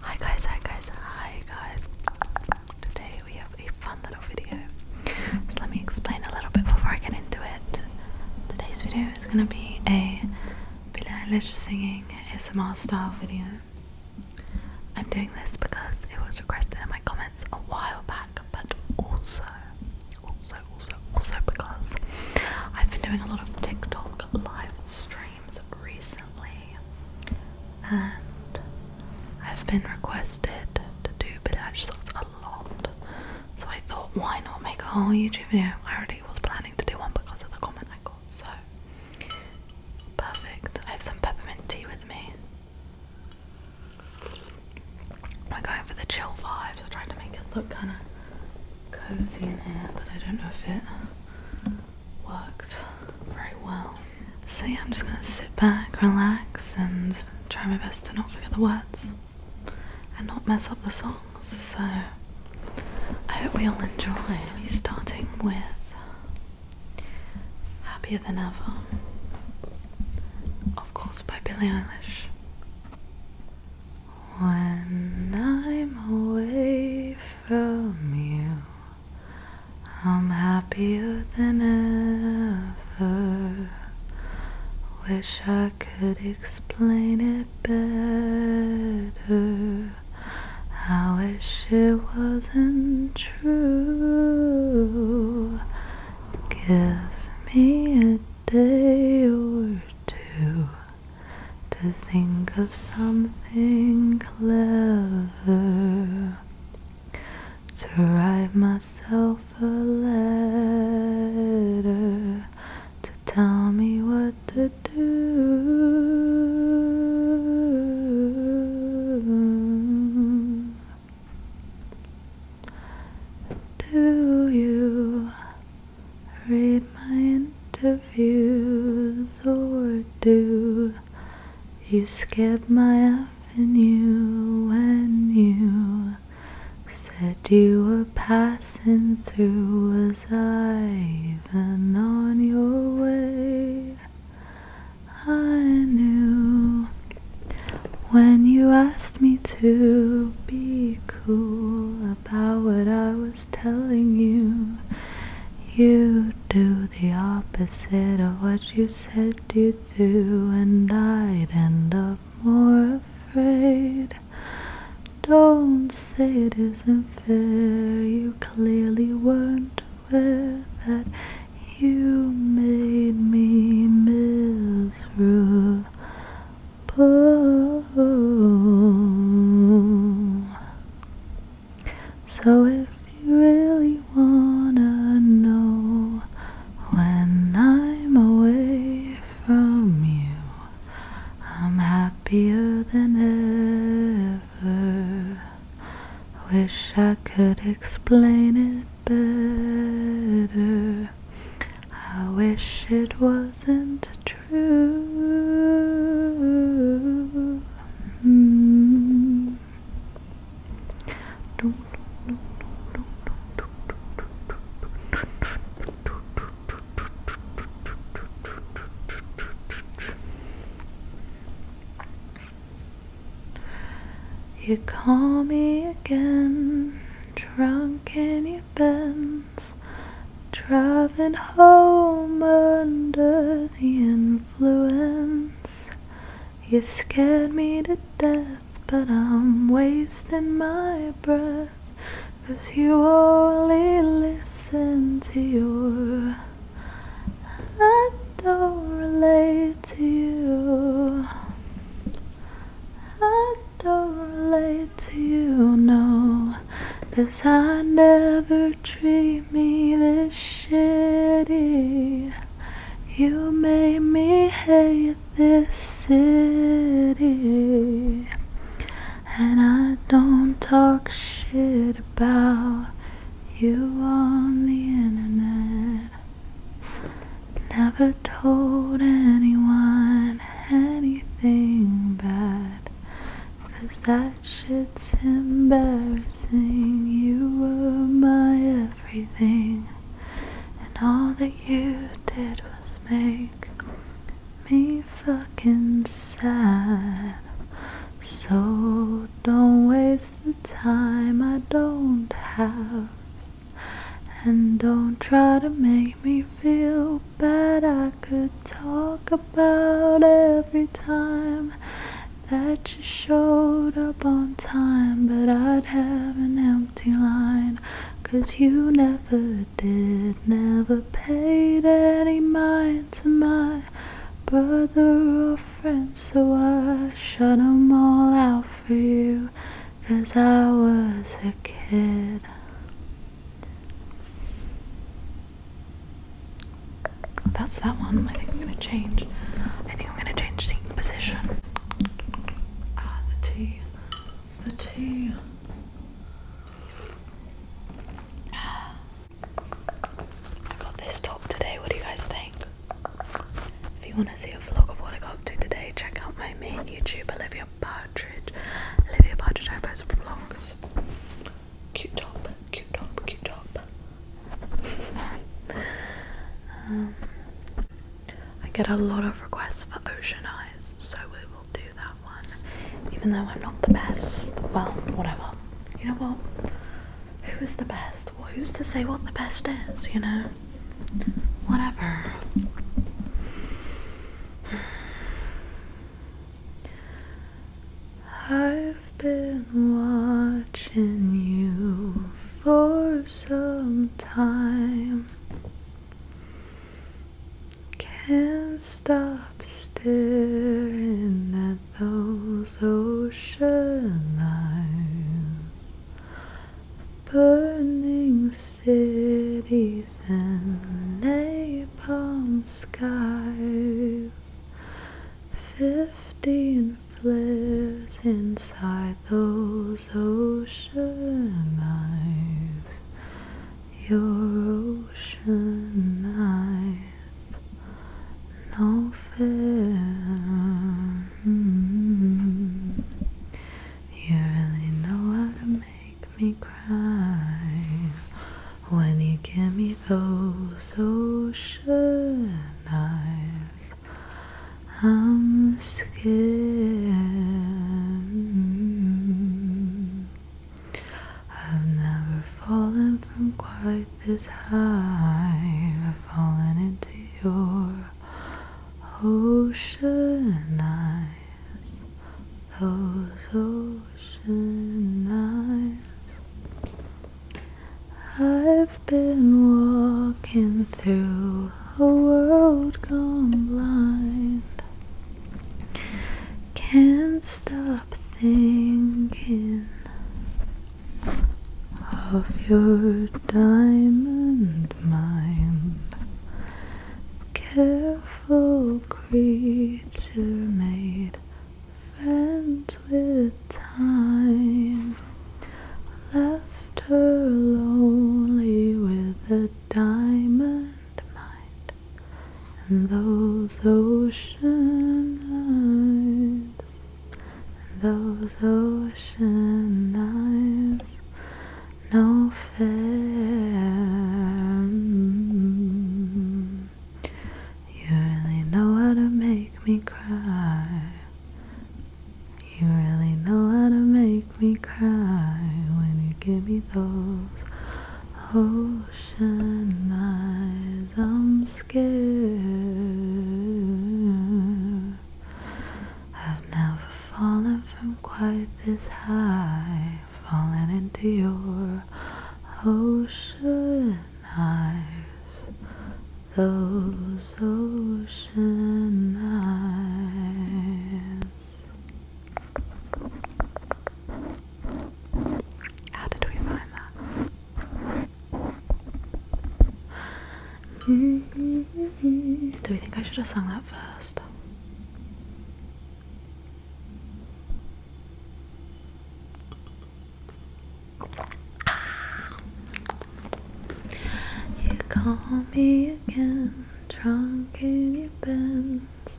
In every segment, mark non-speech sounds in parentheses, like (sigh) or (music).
Hi guys, hi guys, hi guys. Today we have a fun little video. So let me explain a little bit before I get into it. Today's video is gonna be a Billie singing S M R style video. I'm doing this because it was requested in my comments a while back, but also, also, also, also because I've been doing a lot of TikTok live streams recently, and I've been requested to do Village Socks a lot. So I thought, why not make a whole YouTube video? I already was planning to do one because of the comment I got, so perfect. I have some peppermint tea with me. I'm going for the chill vibes. I tried to make it look kind of cozy in here, but I don't know if it worked very well. So, yeah, I'm just gonna sit back, relax, and try my best to not forget the words and not mess up the songs. So, I hope we all enjoy. We're starting with Happier Than Ever, of course, by Billie Eilish. When I'm away from you. I'm happier than ever. Wish I could explain it better. I wish it wasn't true. Give me a day or two to think of something clever to write myself a letter to tell me what to do. Do you Read my interviews or do you skip my avenue when you said you were passing through? Was I even on your way? I knew when you asked me to be cool about what I was telling you. You do the opposite of what you said you'd do, and I'd end up more afraid. Don't say it isn't fair, you clearly weren't aware that you made me miserable. So if you really wanna know when I'm away from you, I'm happier than ever. Wish I could explain it better. I wish it wasn't true you call me again, drunk in your bends, Driving home under the influence. You scared me to death, but I'm wasting my breath. Cause you only listen to your. I don't relate to you. I don't relate to you, no. Cause I never treat me this shitty. You made me hate this city. And I don't talk shit about you on the internet. Never told anyone anything bad. Cause that shit's embarrassing. You were my everything, and all that you did was make me fucking sad. So don't waste the time I don't have, and don't try to make made me feel bad. I could talk about every time that you showed up on time, but I'd have an empty line. Cause you never did, never paid any mind to my brother or friend, so I shut 'em all out for you. Cause I was a kid. That's that one. I think I'm gonna change. I think I'm gonna change seat position. Ah, the tea. The tea. (sighs) I got this top today. What do you guys think? If you want to see a vlog of what I got up to today, check out my main YouTube, Olivia Partridge. Olivia Partridge, I post vlogs Cute top, cute top, cute top. um, I get a lot of requests for ocean eyes, so we will do that one. Even though I'm not the best, well, whatever. You know what? Who is the best? Well, who's to say what the best is, you know? Whatever. I've been watching you for some time. Can't stop staring at those ocean eyes. Burning city trees and napalm skies. Fifteen flares inside those ocean eyes. Your ocean eyes, no fair. Mm-hmm. You really know how to make me cry when you give me those ocean eyes. I'm scared. I've never fallen from quite this high. I've fallen into your ocean eyes. Those ocean nights I've been walking through a world gone blind. Can't stop thinking of your diamond mind. Careful beautiful creature made friends with time, left her lonely with a diamond mind and those ocean eyes, those ocean eyes no fair. You really know how to make me cry. You really know how to make me cry when you give me those ocean eyes. I'm scared. I've never fallen from quite this high falling into your ocean eyes, those ocean eyes. How did we find that? Mm-hmm. Do we think I should have sung that first? You call me again, drunk in your pants,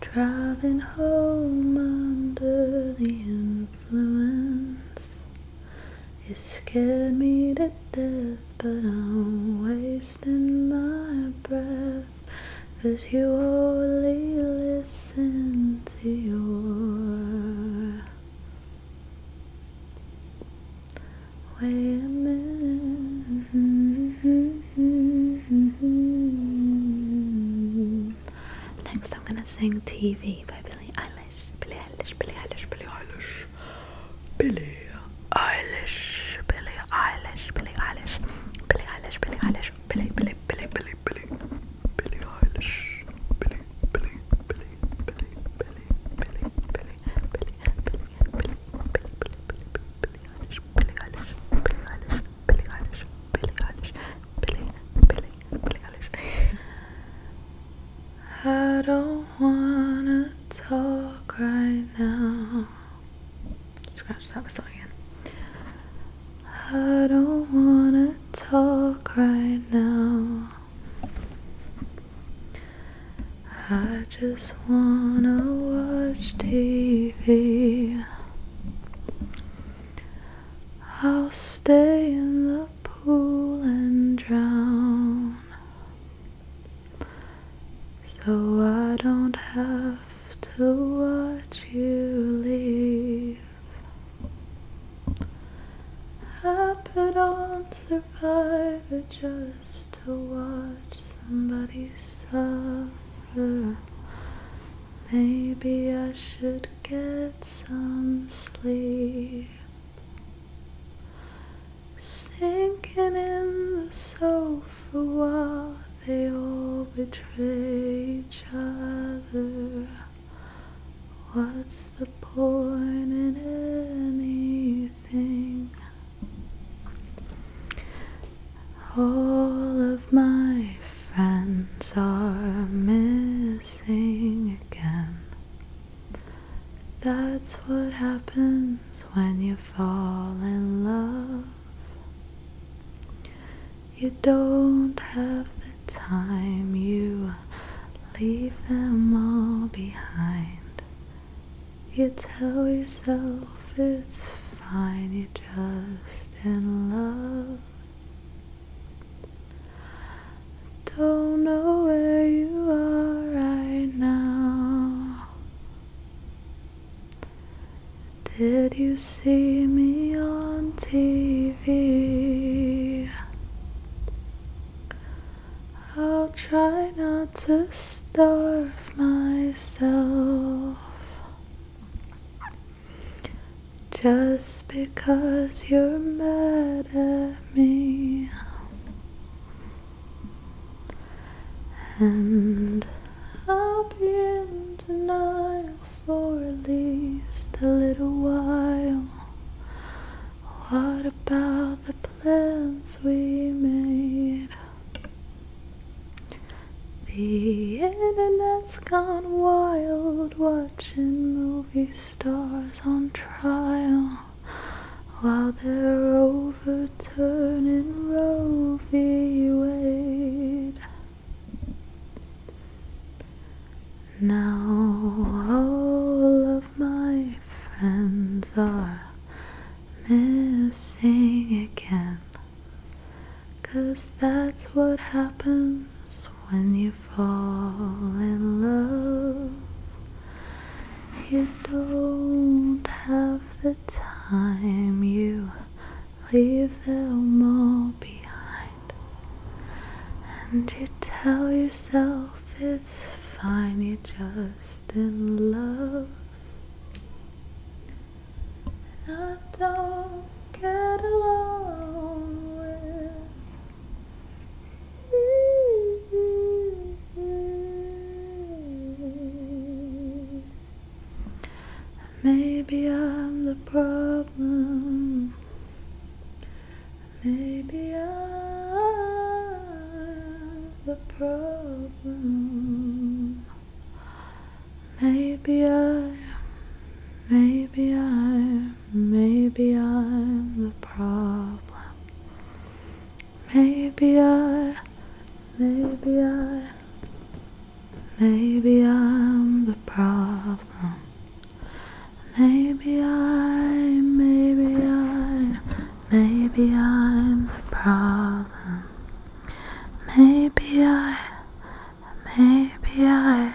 driving home under the influence. You scared me to death, but I'm wasting my breath. Cause you only listen to your Wait a Next I'm gonna sing TV by Billie Eilish Billie Eilish, Billie Eilish, Billie Eilish Billie Eilish, Billie Eilish, Billie Eilish, Billie Eilish, Billie Eilish, Billie, Billie, Billie, Billie, Billie, Billie Eilish, Billie, Billie, Billie, Billie, Billie, Billie, Billie, Billie, Billie, Billie, Billie Eilish, Billie Eilish, Billie Eilish, Billie Eilish, Billie, Billie, Billie Eilish. I don't wanna talk right now. Scratch that whistle again. I don't wanna talk right now. I just wanna watch TV. I'll stay in the pool and drown so I don't have to watch you leave. I put on Survivor just to watch somebody suffer. Maybe I should get some sleep. Sinking in the sofa while they all betray each other. What's the point in anything? All of my friends are missing again. That's what happens when you fall in love, you don't have the time, you leave them all behind. You tell yourself it's fine, you're just in love. Don't know where you are right now. Did you see me on TV? I'll try not to starve myself just because you're mad at me. And I'll be in denial for at least a little while. What about the plans we made? The internet's gone wild, watching movie stars on trial while they're overturning Roe v. Wade. Now all of my friends are missing again, cause that's what happens when you fall in love. You don't have the time, you leave them all behind. And you tell yourself it's fine, you're just in love. I don't get along with Maybe I'm the problem. Maybe I'm the problem. Maybe I, maybe I, maybe I'm the problem. Maybe I, maybe I, maybe I'm the problem. Maybe I, maybe I, maybe I'm the problem. Maybe I, maybe I,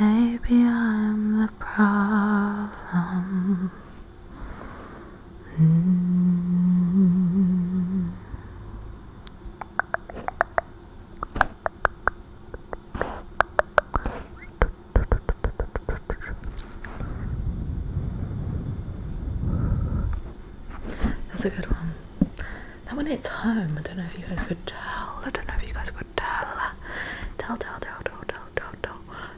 maybe I'm the problem. That's a good one. That one hits home. I don't know if you guys could tell. I don't know if you guys could Tell, tell, tell, tell, tell, tell, tell.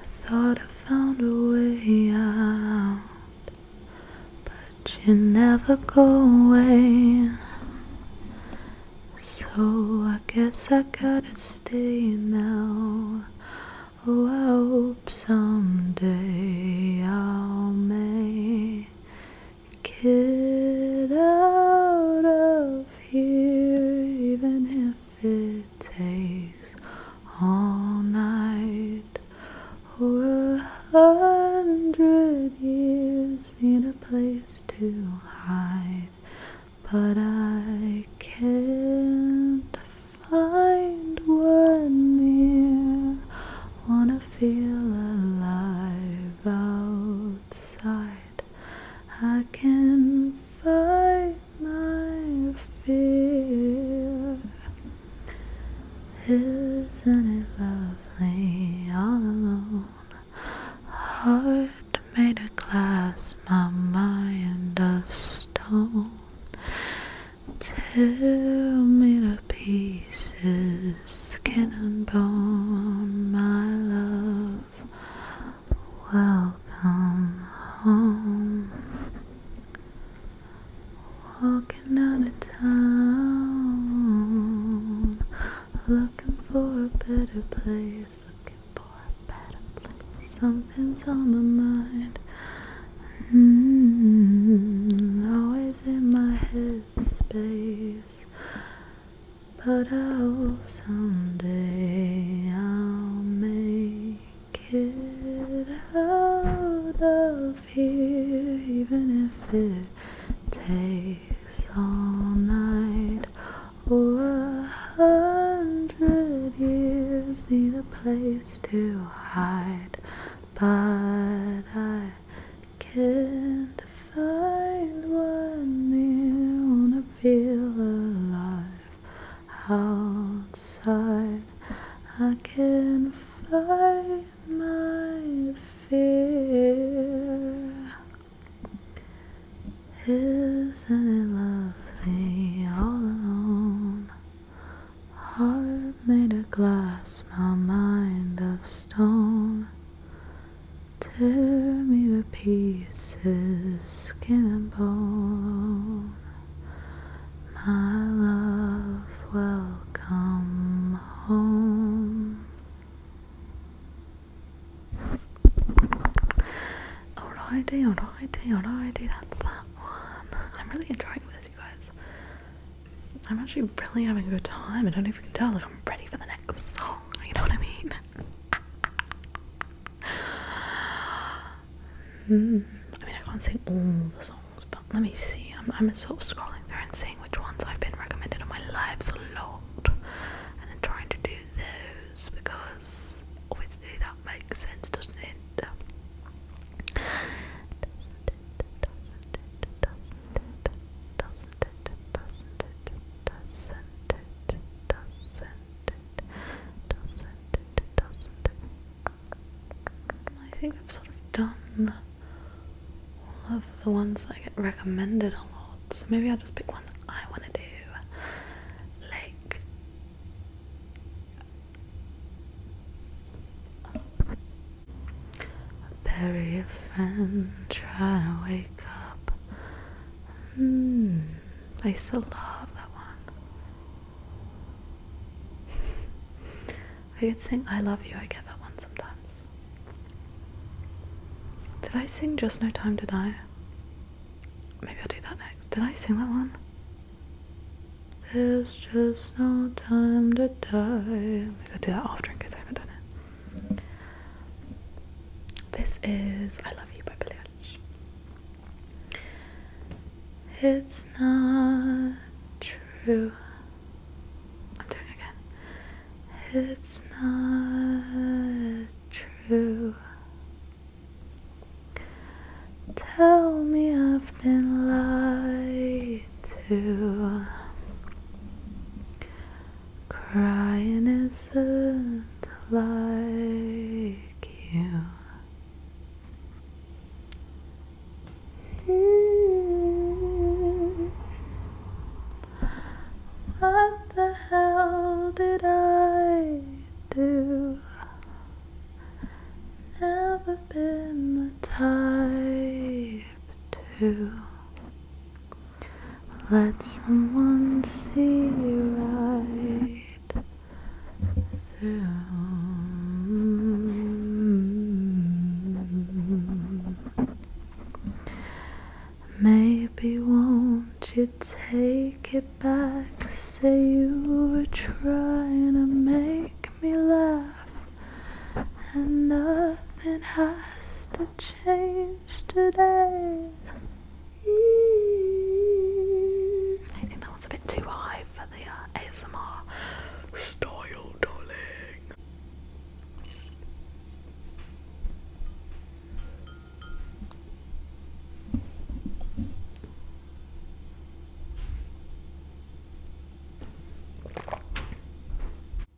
I thought I found a way out, but you never go away. So I guess I gotta stay now. Oh, I hope someday I'll make it out of here, even if if it takes all night or a hundred years need a place to hide but I can't find one near wanna feel alive outside I can not find my fear. Isn't it lovely all alone? Heart made of glass, my mind of stone. Tear me to pieces, skin and bone, my love. Welcome home. Walking out of town, looking for a better place, looking for a better place. Something's on my mind, mm-hmm. always in my head space. But I hope someday I'll make get out of here, even if it takes all night or a hundred years. Need a place to hide, but I can't find one near. Wanna feel alive outside I can fight my fear Isn't it lovely all alone Heart made of glass, my mind of stone Tear me to pieces, skin and bone my love, welcome home. Alrighty, alrighty, alrighty, that's that one. I'm really enjoying this, you guys. I'm actually really having a good time. I don't know if you can tell, like, I'm ready for the next song, you know what I mean? (laughs) I mean, I can't sing all the songs, but let me see. I'm, I'm sort of scrolling through and seeing which ones I've been recommended on my lives a lot, and then trying to do those because obviously that makes sense, Doesn't it? I think I've sort of done all of the ones that I get recommended a lot so maybe I'll just pick one that I want to do like bury a friend trying to wake up mm. I used to love that one. (laughs) I could sing I Love You, I get that one sometimes. Did I sing Just No Time to Die? Maybe I'll do that next. Did I sing that one? There's just no time to die. Maybe I'll do that after in case I haven't done it. This is I Love You by Billie it's not true. I'm doing again. It's not true. Tell me I've been lied to. Crying isn't lie take you. What the hell did I do? Never been the type to let someone see you right. Maybe won't you take it back? Say you were trying to make me laugh, and nothing has to change. I think that one's a bit too high for the uh, ASMR style, darling.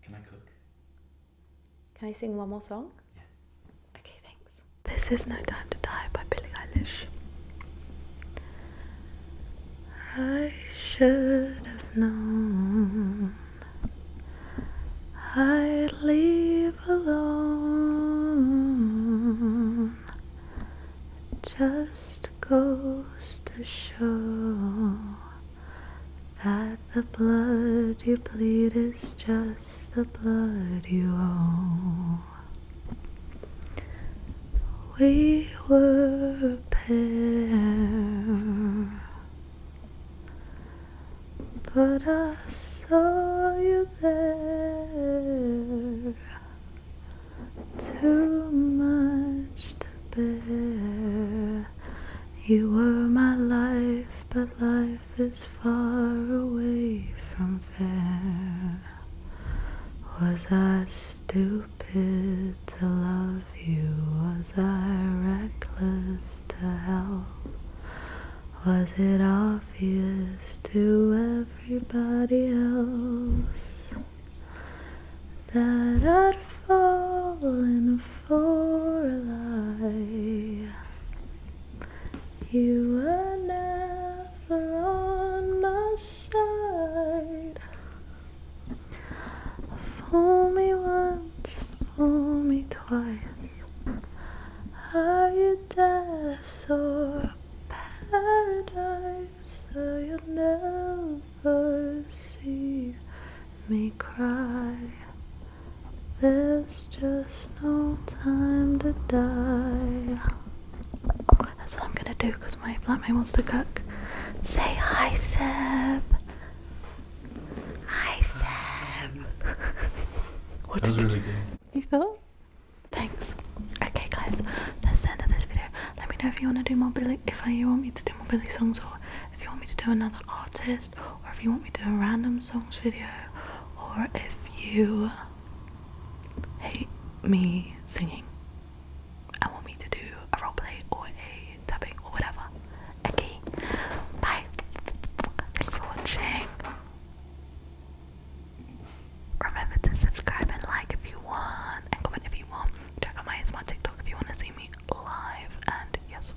Can I cook? Can I sing one more song? This is No Time to Die by Billie Eilish. I should have known I'd leave alone. Just goes to show that the blood you bleed is just just the blood you owe. We were a pair, but I saw you there. Too much to bear. You were my life, but life if far away from fair? Was I stupid to love you? Was I reckless to help? Was it obvious to everybody else that I'd fallen for a lie? You were never on my side. Fool me once, fool me twice. Are you death or paradise? So you'll never see me cry. There's just no time to die. That's what I'm gonna do because my flatmate wants to cook. Say hi, Seb. Hi, Sam. (laughs) what that was really good. You thought? Thanks. Okay, guys, that's the end of this video. Let me know if you want to do more Billy, if you want me to do more Billy songs, or if you want me to do another artist, or if you want me to do a random songs video, or if you hate me singing and want me to do a roleplay or a tapping or whatever. Okay, bye. Thanks for watching. Remember to subscribe and like if you want, and comment if you want. Check out my smart TikTok if you want to see me live. And yes,